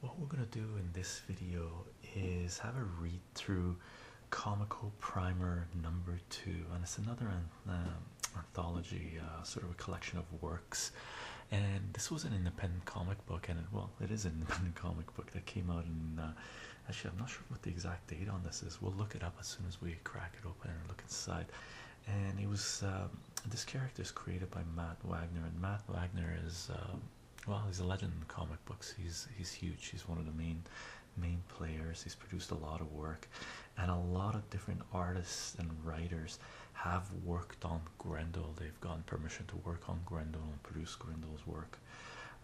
What we're going to do in this video is have a read through Comical Primer number two, and it's another um, anthology, uh, sort of a collection of works. And this was an independent comic book, and it, well, it is an independent comic book that came out And uh, actually, I'm not sure what the exact date on this is. We'll look it up as soon as we crack it open and look inside and it was um, this character is created by Matt Wagner, and Matt Wagner is um, well, he's a legend in comic books. He's he's huge. He's one of the main main players. He's produced a lot of work, and a lot of different artists and writers have worked on Grendel. They've gotten permission to work on Grendel and produce Grendel's work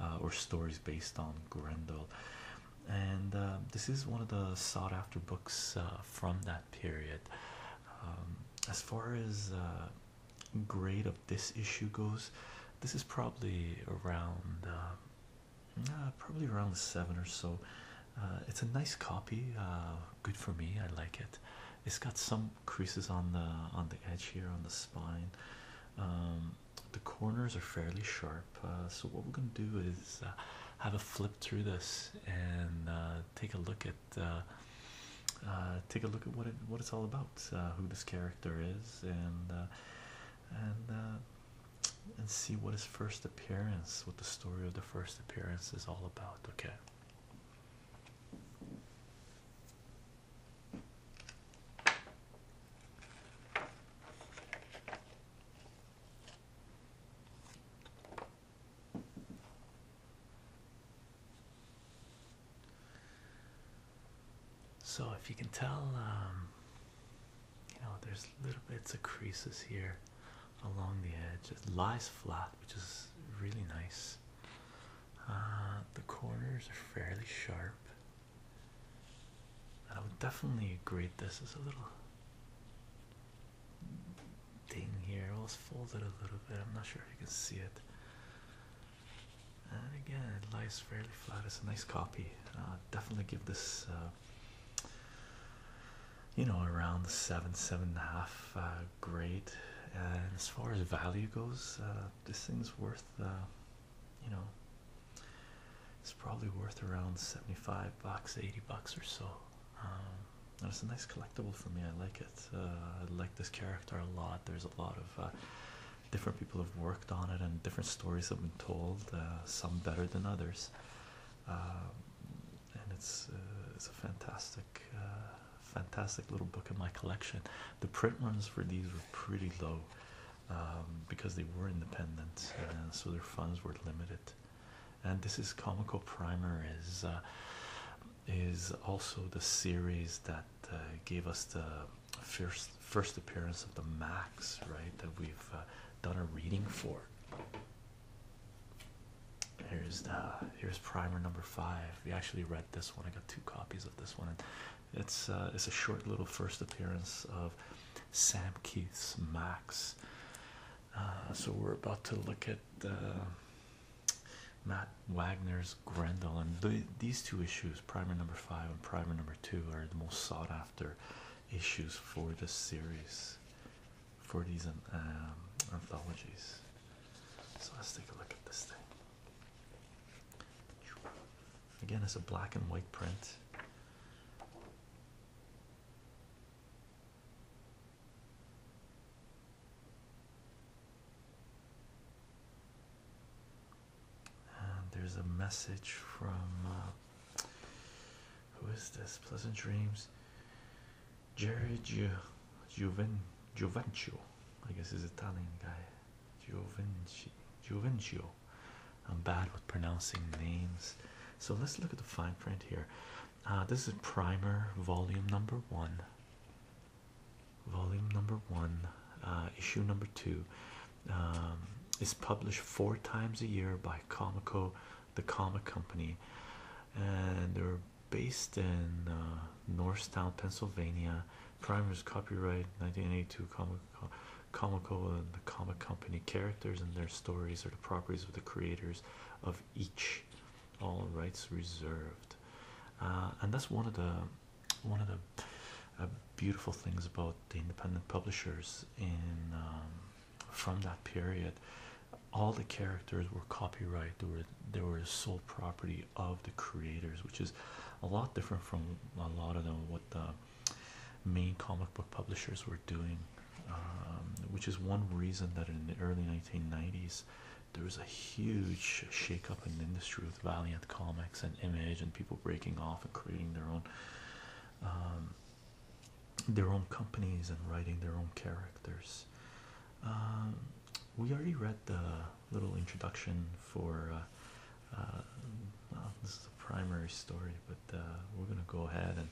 uh, or stories based on Grendel and uh, this is one of the sought after books uh, from that period. Um, as far as uh, grade of this issue goes, this is probably around probably around seven or so. it's a nice copy. good for me. I like it. It's got some creases on the on the edge here on the spine. Um, the corners are fairly sharp. so what we're gonna do is have a flip through this and uh, take a look at uh, uh, take a look at what it what it's all about, who this character is, and and and see what his first appearance, what the story of the first appearance is all about. Okay. So if you can tell, um, you know, there's little bits of creases here along the edge. It lies flat, which is really nice. Uh, the corners are fairly sharp. I would definitely grade this as a little thing here. It was folded a little bit. I'm not sure if you can see it. And again, it lies fairly flat. It's a nice copy. Uh, definitely give this, uh, you know, around the seven, seven and a half uh, grade. And as far as value goes, uh, this thing's worth, uh, you know, it's probably worth around 75 bucks, 80 bucks or so. Um, it's a nice collectible for me. I like it. Uh, I like this character a lot. There's a lot of uh, different people have worked on it, and different stories have been told. Uh, some better than others. Um, and it's it's a fantastic, fantastic little book in my collection. The print runs for these were pretty low. Um, because they were independent, uh, so their funds were limited and this is comical primer is uh, is also the series that uh, gave us the first first appearance of the max right that we've uh, done a reading for here's the here's primer number five we actually read this one i got two copies of this one it's it's a short little first appearance of Sam Keith's Max. Uh, so we're about to look at uh, Matt Wagner's Grendel, and these two issues, Primer number five and Primer number two, are the most sought after issues for this series, for these um, anthologies. So let's take a look at this thing. Again, it's a black and white print there's a message from uh, who is this? Pleasant dreams, Jerry Ju Juven I guess he's Italian guy. Giovancio. Giovincio. I'm bad with pronouncing names. So let's look at the fine print here. Uh, this is primer volume number one. Volume number one, uh, issue number two, um, is published four times a year by Comico, the comic company, and they're based in uh, Northtown, Pennsylvania. Primer's copyright 1982 Comico comical and the comic company characters and their stories are the properties of the creators of each all rights reserved uh, and that's one of the one of the uh, beautiful things about the independent publishers in um, from that period all the characters were copyright they were they were sole property of the creators which is a lot different from a lot of them what the main comic book publishers were doing, um, which is one reason that in the early 1990s there was a huge shakeup in the industry with Valiant Comics and Image and people breaking off and creating their own. Um, their own companies and writing their own characters. Um, we already read the little introduction for uh, uh, this is the primary story, but uh, we're gonna go ahead and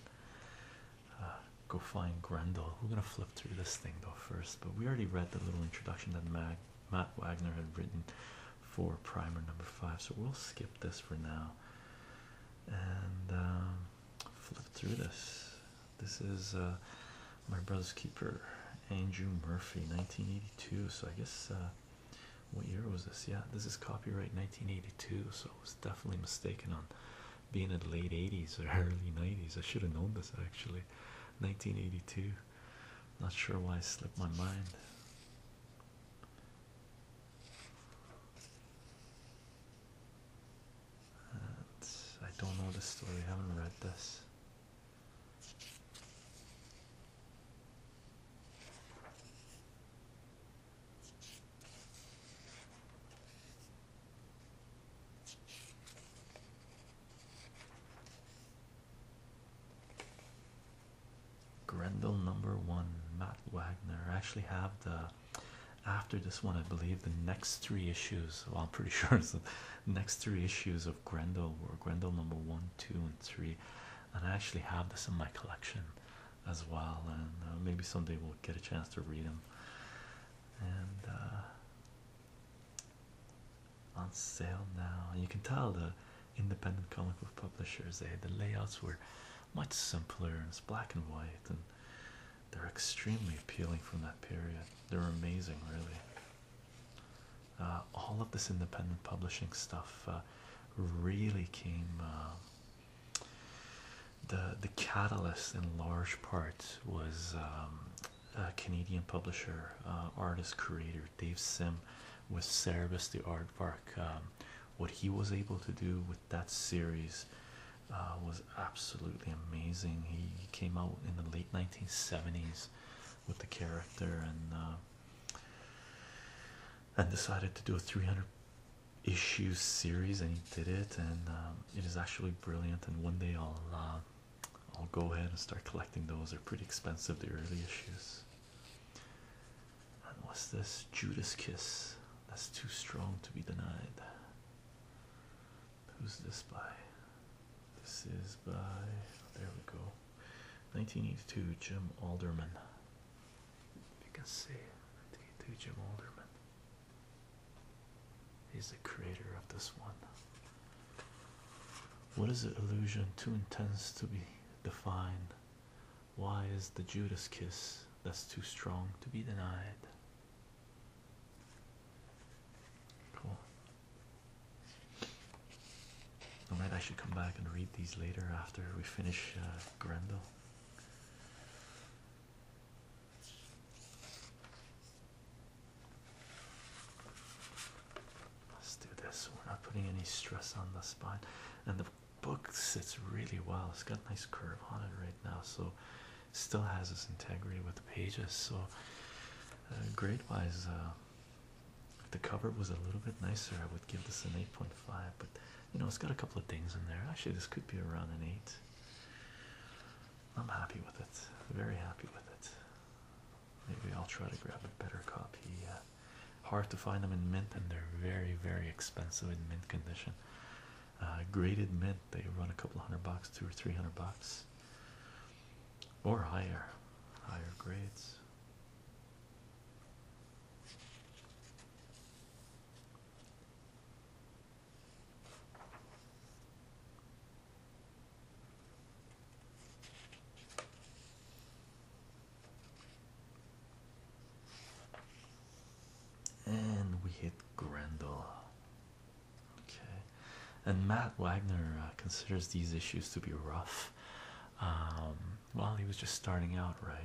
uh, go find Grendel. We're gonna flip through this thing though first, but we already read the little introduction that Mag Matt Wagner had written for primer number five, so we'll skip this for now and um, flip through this. This is my brother's keeper, Andrew Murphy, 1982. So I guess what year was this? Yeah, this is copyright 1982, so I was definitely mistaken on being in the late 80s or early 90s. I should have known this actually. 1982. Not sure why it slipped my mind. I don't know the story, I haven't read this. Grendel number one, Matt Wagner. actually have the after this one, I believe the next three issues. Well, I'm pretty sure it's the next three issues of Grendel were Grendel number one, two, and three and I actually have this in my collection as well. And uh, maybe someday we'll get a chance to read them. And uh, on sale now, you can tell the independent comic book publishers, eh? The layouts were much simpler, and it's black and white, and they're extremely appealing from that period. They're amazing, really. Uh, all of this independent publishing stuff uh, really came uh, the the catalyst in large part was um, a Canadian publisher artist creator Dave Sim with Cerebus the Aardvark um, what he was able to do with that series was absolutely amazing he came out in the late 1970s with the character and and decided to do a 300 issue series and he did it and um, it is actually brilliant and one day I'll uh, I'll go ahead and start collecting those they're pretty expensive the early issues and what's this Judas kiss that's too strong to be denied who's this by this is by there we go 1982 Jim Alderman. You can see 1982 Jim Alderman. He's the creator of this one. What is an illusion too intense to be defined? Why is the Judas kiss that's too strong to be denied? Cool. All right, I should come back and read these later after we finish uh, Grendel. Let's do this. We're not putting any stress on the spine, and the book sits really well. It's got a nice curve on it right now, so still has its integrity with the pages. So, uh, grade-wise, uh, if the cover was a little bit nicer, I would give this an 8.5, but you know, it's got a couple of things in there. Actually, this could be around an 8. I'm happy with it, very happy with it. Maybe I'll try to grab a better copy. Uh, hard to find them in mint, and they're very, very expensive in mint condition. Uh, graded mint, they run a couple hundred bucks, two or three hundred bucks, or higher, higher grades. And we hit Grendel. Okay, and Matt Wagner uh, considers these issues to be rough. Um, well, he was just starting out, right?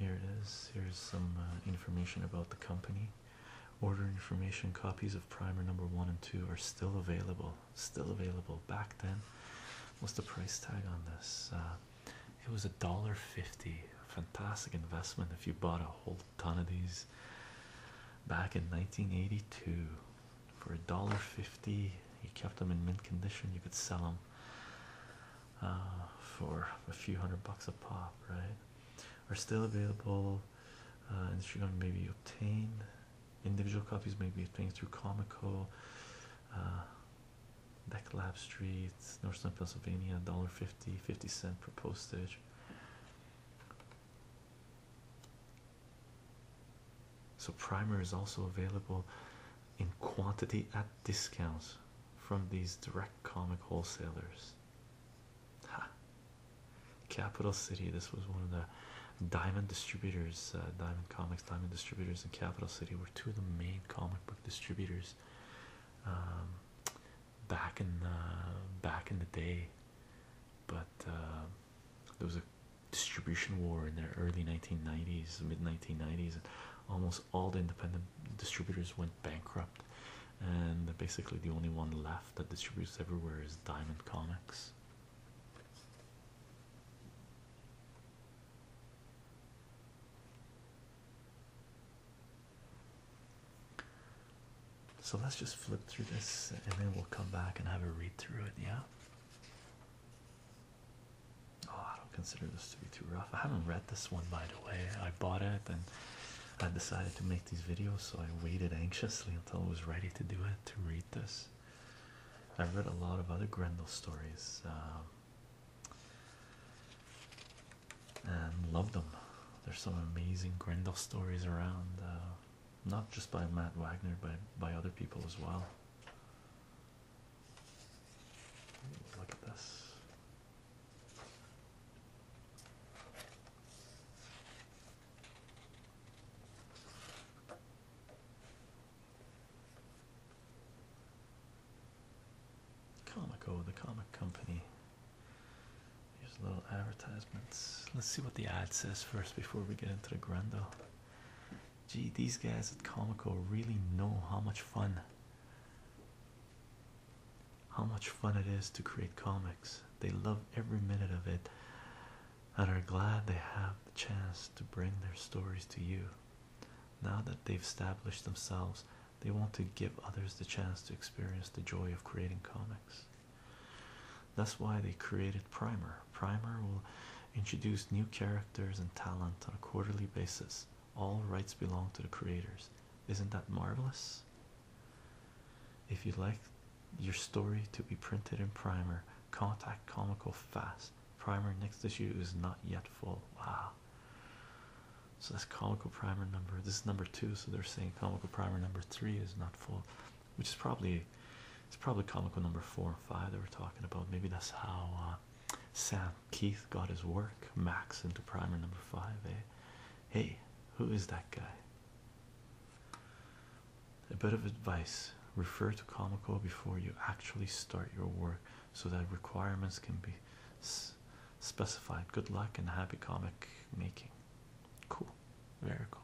here it is. Here's some uh, information about the company. Order information copies of primer number one and two are still available. Still available. Back then, what's the price tag on this? Uh, it was a dollar fifty. Fantastic investment if you bought a whole ton of these back in 1982 for a dollar fifty. You kept them in mint condition. You could sell them uh, for a few hundred bucks a pop, right? Are still available. Uh, Instagram may maybe obtain Individual copies maybe things through Comico. Uh, Becklab Street, Northern Pennsylvania, dollar fifty, fifty cent per postage. So primer is also available in quantity at discounts from these direct comic wholesalers. Capital City. This was one of the diamond distributors, uh, Diamond Comics, Diamond Distributors in Capital City were two of the main comic book distributors um, back in back in the day, but uh, there was a distribution war in the early 1990s, mid 1990s, and almost all the independent distributors went bankrupt, and basically the only one left that distributes everywhere is Diamond Comics. So let's just flip through this and then we'll come back and have a read through it, yeah? Oh, I don't consider this to be too rough. I haven't read this one, by the way. I bought it and I decided to make these videos, so I waited anxiously until I was ready to do it to read this. I read a lot of other Grendel stories. Um, and love them. There's some amazing Grendel stories around, uh, not just by Matt Wagner, but by other people as well. Look at this. Comico, the comic company. Here's little advertisements. Let's see what the ad says first before we get into the Grendel. Gee, these guys at Comico really know how much fun how much fun it is to create comics. They love every minute of it and are glad they have the chance to bring their stories to you. Now that they've established themselves, they want to give others the chance to experience the joy of creating comics. That's why they created Primer. Primer will introduce new characters and talent on a quarterly basis. All rights belong to the creators. Isn't that marvelous? If you'd like your story to be printed in Primer, contact Comical Fast. Primer next issue is not yet full. Wow. So that's comical primer number. This is number two, so they're saying comical primer number three is not full, which is probably it's probably comical number four and five that we're talking about. Maybe that's how uh, Sam Keith got his work max into primer number five. Eh? Hey, who is that guy? A bit of advice: refer to comical before you actually start your work so that requirements can be specified. Good luck and happy comic making. Cool, very cool.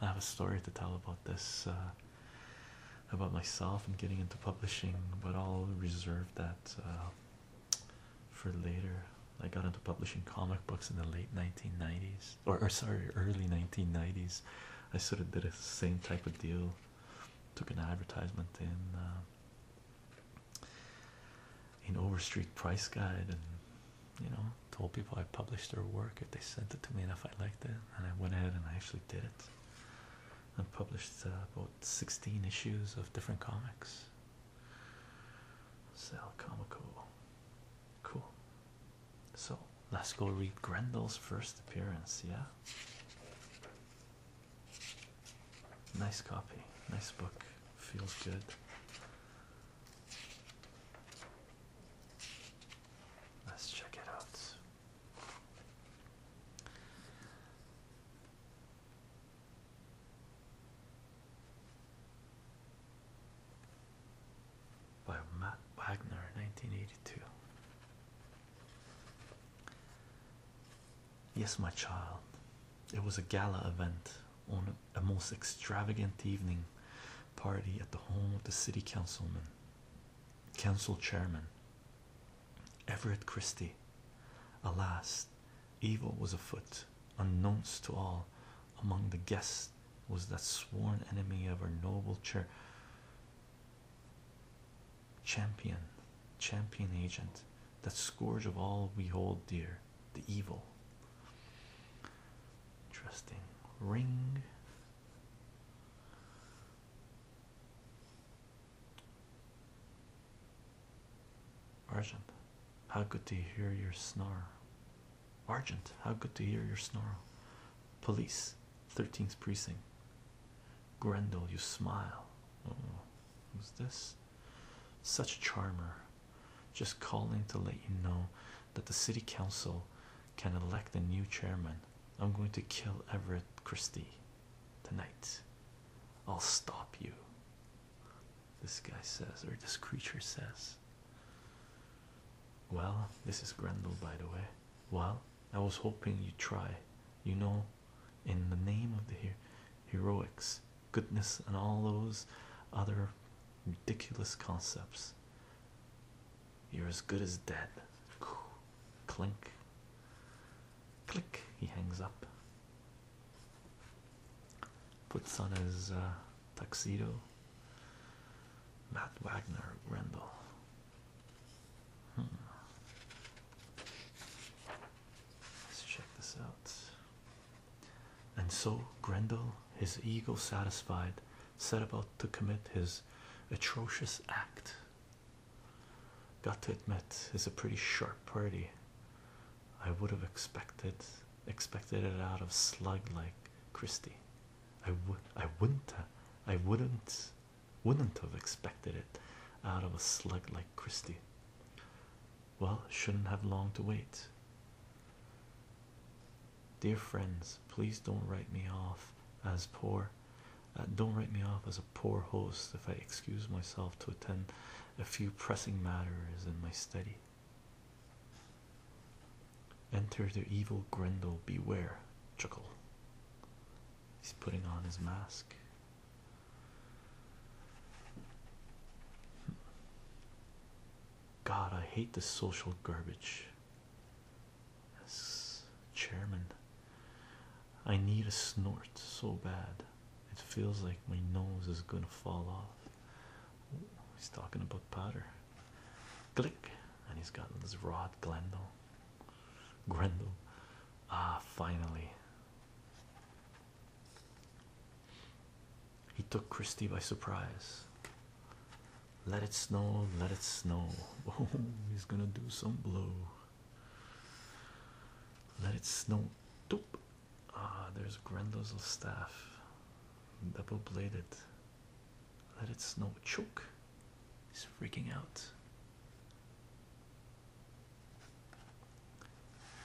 I have a story to tell about this, uh, about myself and getting into publishing, but I'll reserve that uh, for later. I got into publishing comic books in the late 1990s, or, sorry, early 1990s. I sort of did the same type of deal Took an advertisement in uh, in Overstreet Price Guide, and you know, told people I published their work if they sent it to me and if I liked it. And I went ahead and I actually did it. And published uh, about 16 issues of different comics. Sal Comico, cool. So Let's go read Grendel's first appearance. Yeah, nice copy, nice book, feels good. Let's check it out. By Matt Wagner, 1982. Yes, my child. It was a gala event on a most extravagant evening party at the home of the city councilman, council chairman, Everett Christie. Alas, evil was afoot, unknownst to all. Among the guests was that sworn enemy of our noble church. Champion, champion agent, that scourge of all we hold dear, the evil. Trusting, ring. Argent, how good to hear your snarl. Argent, how good to hear your snarl. Police, 13th precinct. Grendel, you smile. Oh, who's this? Such a charmer. Just calling to let you know that the city council can elect a new chairman. I'm going to kill Everett Christie tonight. I'll stop you. This guy says, or this creature says. Well, this is Grendel, by the way. Well, I was hoping you'd try. You know, in the name of the heroics, goodness, and all those other ridiculous concepts, you're as good as dead. Clink. Click. He hangs up. Puts on his uh, tuxedo. Matt Wagner, Rendell. Hmm. Let's check this out. And so Grendel, his ego satisfied, set about to commit his atrocious act. Got to admit, it's a pretty sharp party. I would have expected expected it out of slug like Christie. I would I wouldn't uh, I wouldn't wouldn't have expected it out of a slug like Christie. Well, shouldn't have long to wait. Dear friends, please don't write me off as poor. Uh, don't write me off as a poor host if I excuse myself to attend a few pressing matters in my study. Enter the evil Grendel, beware, chuckle. He's putting on his mask. God, I hate the social garbage. chairman. I need a snort so bad. It feels like my nose is gonna fall off. he's talking about powder. Click, and he's got this rod Glendale. Grendel. Ah, finally. He took Christie by surprise. Let it snow, let it snow. Oh, he's gonna do some blow. Let it snow. Doop. Ah, there's Grendel's staff. Double bladed. Let it snow choke. He's freaking out.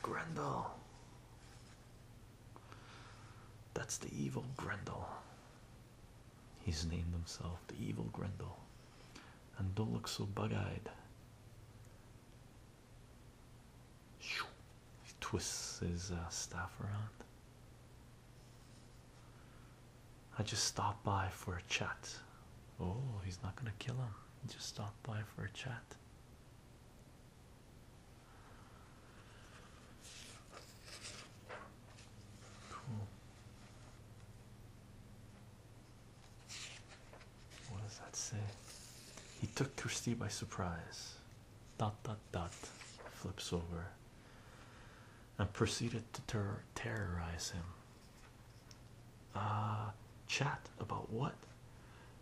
Grendel. That's the evil Grendel. He's named himself the evil Grendel. And don't look so bug eyed. He twists his uh, staff around. I just stopped by for a chat. Oh, he's not gonna kill him. Just stopped by for a chat. Cool. What does that say? He took Christie by surprise. Dot dot dot flips over and proceeded to terrorize him. Uh, chat about what?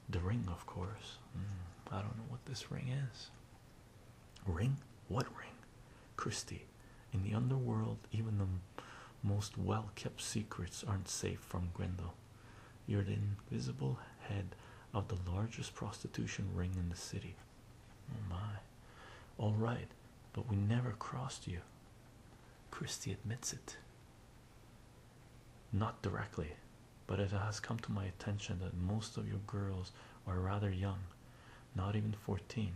The ring, of course. Hmm, I don't know what this ring is. Ring? What ring? Christie. In the underworld, even the most well kept secrets aren't safe from Grendel. You're the invisible head of the largest prostitution ring in the city my. All right, but we never crossed you. Christie admits it. Not directly, but it has come to my attention that most of your girls are rather young, not even 14.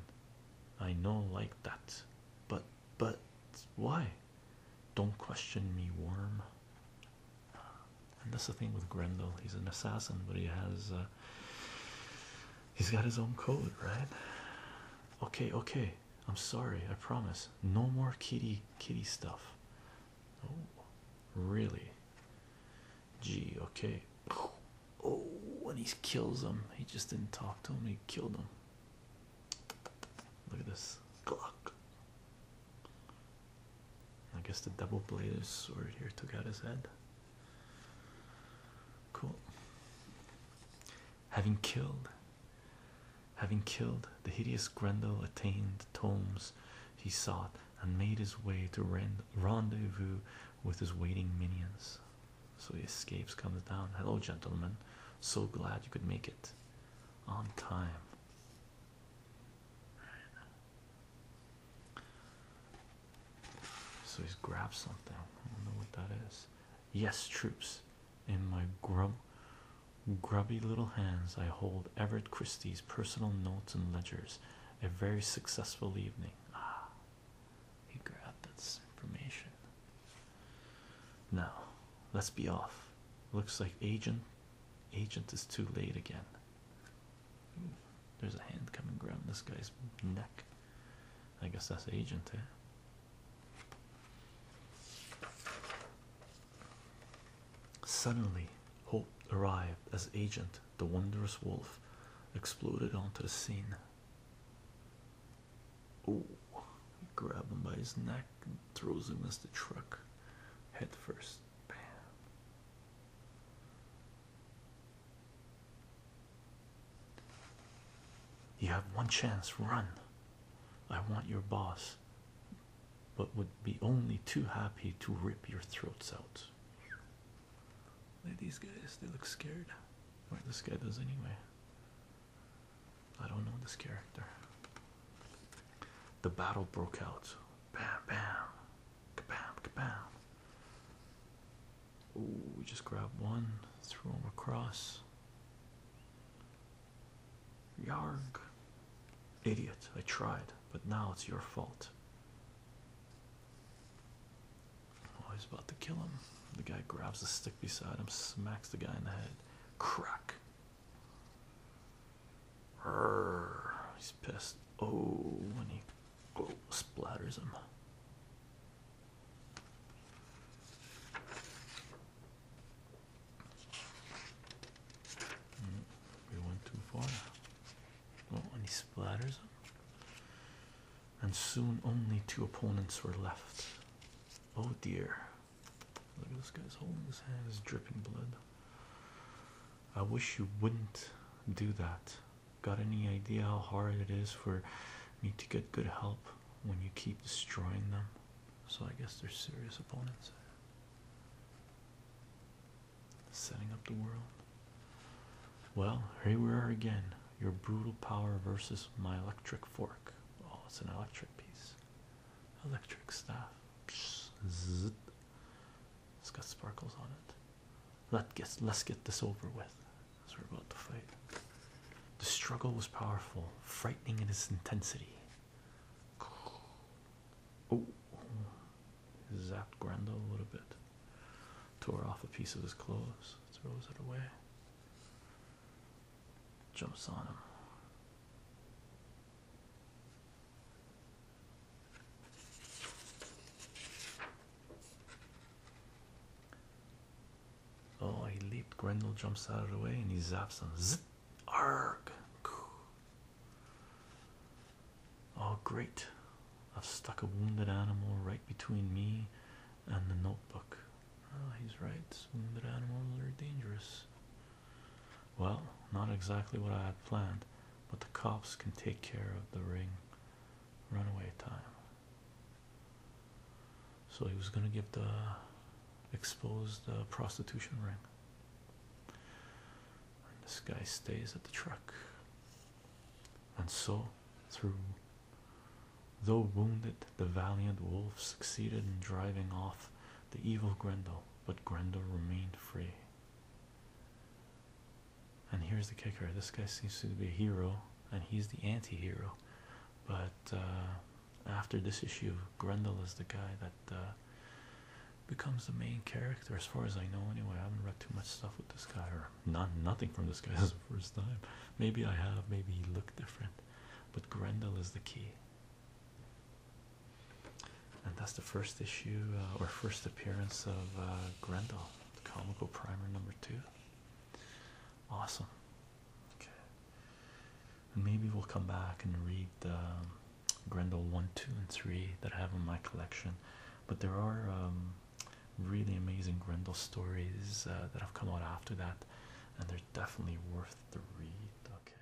I know like that. But, but, why? Don't question me, worm and that's the thing with Grendel. He's an assassin, but he has uh, he's got his own code, right? Okay, okay. I'm sorry. I promise. No more kitty kitty stuff. Oh, really? Gee, okay. Oh, when he kills him, he just didn't talk to him. He killed him. Look at this. Glock. I guess the double bladed sword here took out his head. Cool. Having killed, having killed the hideous Grendel, attained the tomes he sought and made his way to rendezvous with his waiting minions. So he escapes, comes down. Hello, gentlemen. So glad you could make it on time. So he's grabbed something. I don't know what that is. Yes, troops. In my grub, grubby little hands, I hold Everett Christie's personal notes and ledgers. A very successful evening. Ah, he grabbed this information. Now, let's be off. Looks like agent, agent is too late again there's a hand coming around this guy's neck. I guess that's agent, eh? Suddenly, Hope arrived as agent. The wondrous wolf exploded onto the scene. Oh, grab him by his neck and throws him as the truck head first. You have one chance, run. I want your boss, but would be only too happy to rip your throats out. Look at these guys, they look scared. Well, this guy does anyway. I don't know this character. The battle broke out. Bam, bam, kabam, kabam. Ooh, we just grabbed one, threw him across. Yarg. Idiot, I tried, but now it's your fault. Oh, he's about to kill him. The guy grabs the stick beside him, smacks the guy in the head. Crack he's pissed. Oh, when he splatters him. Mm, we went too far. Oh, and he splatters him. And soon only two opponents were left. Oh dear. Look at this guy's holding his hand is dripping blood. I wish you wouldn't do that. Got any idea how hard it is for me to get good help when you keep destroying them? So I guess they're serious opponents. Setting up the world. Well, here we are again. Your brutal power versus my electric fork. Oh, it's an electric piece. Electric staff. zzz, it's got sparkles on it. Let get let's get this over with. As we're about to fight. The struggle was powerful, frightening in its intensity. Oh, zapped Grendel a little bit. Tore off a piece of his clothes, throws it away. Jumps on him. Oh, he leaped. Grendel jumps out of the way and he zaps him. Zip. Arg. Oh, great. I've stuck a wounded animal right between me and the notebook. Oh, he's right. Wounded animals are dangerous. Well, not exactly what I had planned, but the cops can take care of the ring runaway time. So he was going to give the exposed uh, prostitution ring. this guy stays at the truck. And so, through though wounded, the valiant wolf succeeded in driving off the evil Grendel, but Grendel remained free. And here's the kicker this guy seems to be a hero, and he's the anti hero. But uh, after this issue, Grendel is the guy that uh, becomes the main character, as far as I know, anyway. I haven't read too much stuff with this guy, or not, nothing from this guy. This is the first time. Maybe I have, maybe he looked different. But Grendel is the key. And that's the first issue uh, or first appearance of uh, Grendel, the comical primer number two. Awesome. Okay. And maybe we'll come back and read um, Grendel 1, 2, and 3 that I have in my collection. But there are um, really amazing Grendel stories uh, that have come out after that, and they're definitely worth the read. Okay.